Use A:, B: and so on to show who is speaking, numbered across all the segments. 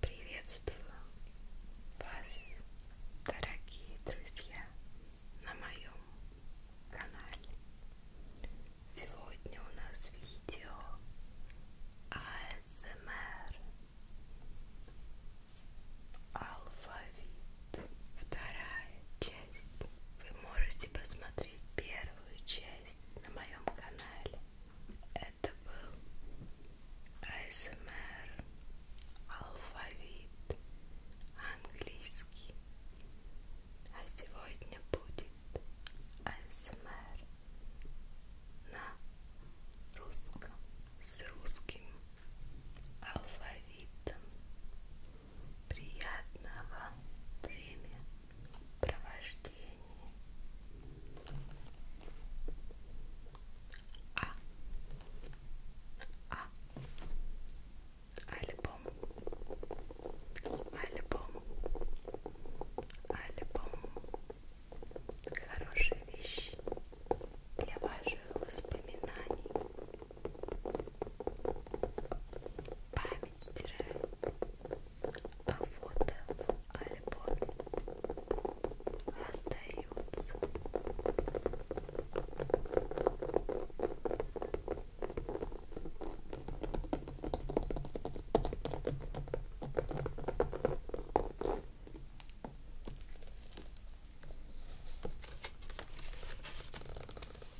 A: Приветствую вас, дорогие друзья, на моем канале. Сегодня у нас видео АСМР Алфавит. Вторая часть. Вы можете посмотреть первую часть на моем канале. Это был АСМР, алфавит, английский. А сегодня будет АСМР на русском с русским алфавитом. Приятного времени! провождении. А. А. Альбом. Альбом. Альбом. Хорошие вещи для ваших воспоминаний. Память стирает а фото в альбоме остаются.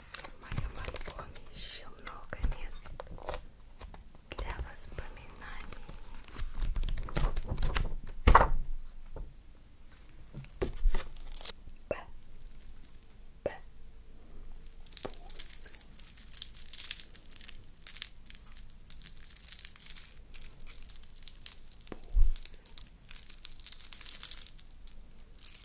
A: В моем альбоме еще много мест для воспоминаний. Б. Б. Бусы. Бусы.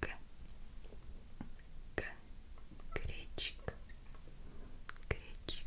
A: к к гречик гречик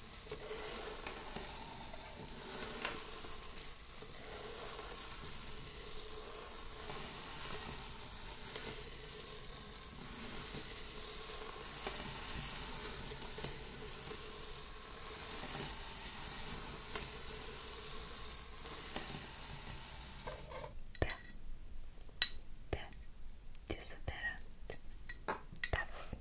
A: Да, да, дезодорант. Таф.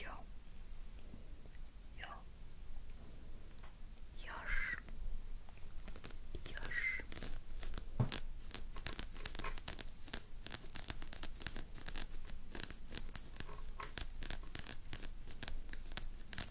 A: Йо. Йо. Ёж. Ёж.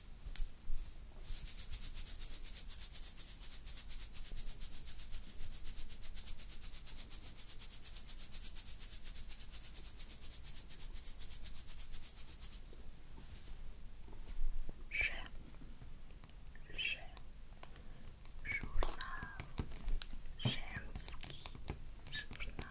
A: Ж, Ж, журнал, женский журнал.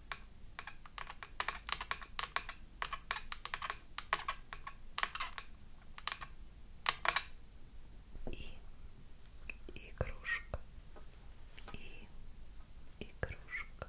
A: И игрушка. И игрушка.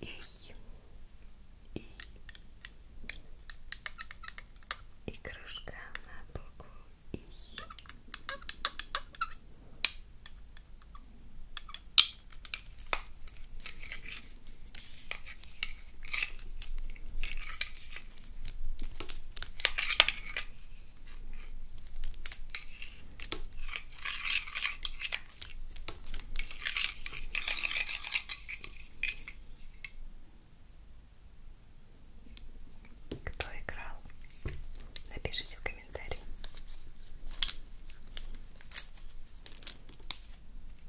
A: Эй. Эй. И кружка на букву И. Кто играл? Напишите в комментариях.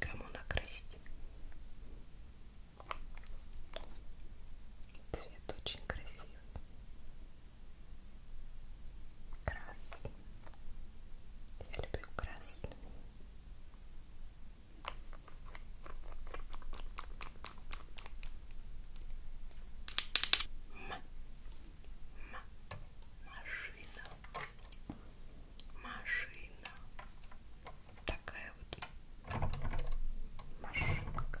A: Кому накрасить? Цвет очень красивый. Красный. Я люблю красный. М. М машина, машина, такая вот машинка.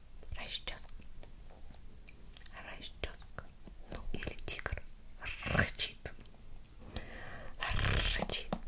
A: расческа, расческа, ну или тигр рычит, рычит. Рычит.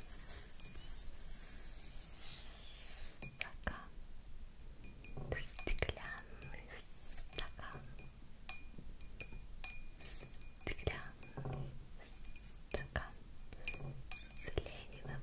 A: стакан, стеклянный стакан, стеклянный стакан с Лениным. Стакан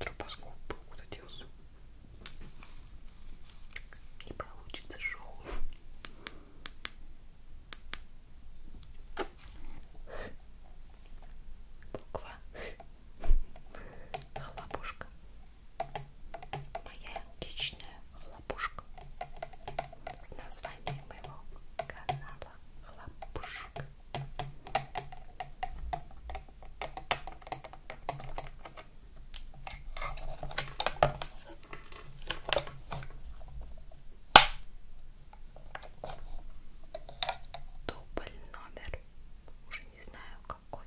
A: Стропоскоп куда делся? Не получится шоу. Буква. Хлопушка. Моя личная хлопушка с названием моего канала хлопушка дубль номер уже не знаю какой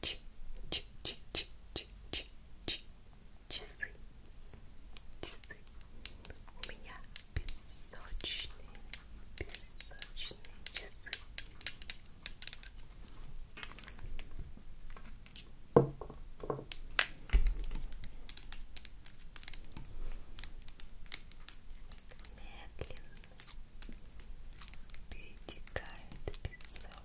A: ч ч ч ч ч ч ч часы часы у меня песочные песочные часы Медленно перетекает песок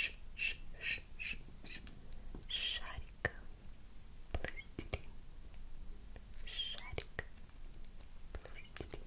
A: ш ш ш ш шарик пластилин шарик пластилин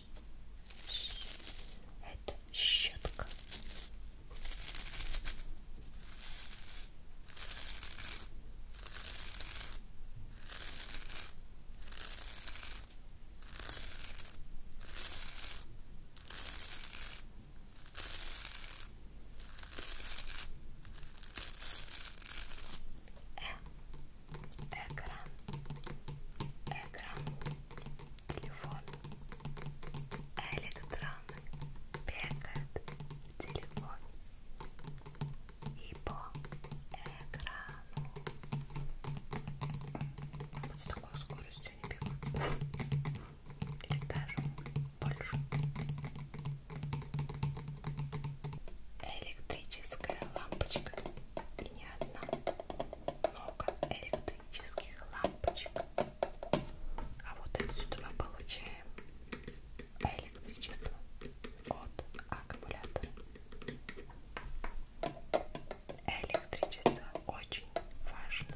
A: ш, ш. Это щетка. Э. Экран, экран, телефон. Электроны бегают в телефон и по экрану. А вот с такой скоростью они бегают. Или даже больше. Электрическая лампочка и не одна много электрических лампочек. А вот отсюда мы получаем электричество от аккумулятора. Электричество очень важно.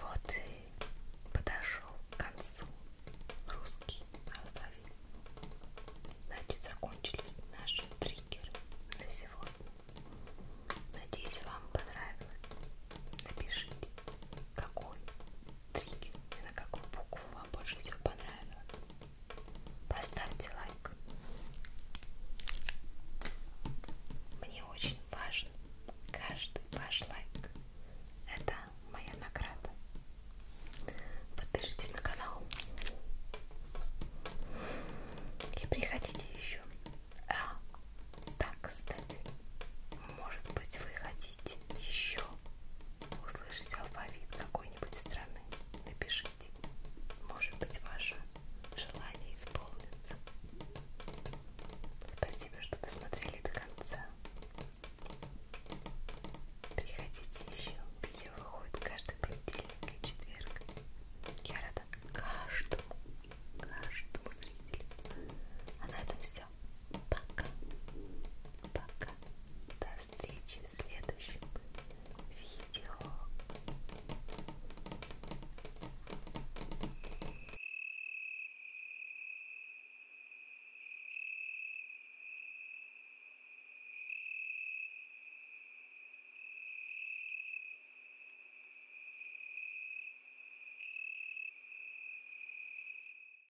A: Вот и подошел к концу русский алфавит. Значит, закончились наши триггеры на сегодня. Надеюсь, вам понравилось. Напишите какой триггер и на какую букву вам больше всего понравилось. Поставьте лайк. Мне очень важен каждый ваш лайк. Это моя награда. Подпишитесь на канал. И приходите еще. А, так, кстати, может быть, вы хотите хотите еще услышать алфавит какой-нибудь страны, напишите. Может быть, ваше желание исполнится. Спасибо, что досмотрели до конца. Приходите еще. Видео выходит каждый понедельник и четверг. Я рада каждому, каждому зрителю. А на этом все пока, пока, до встречи в следующем видео.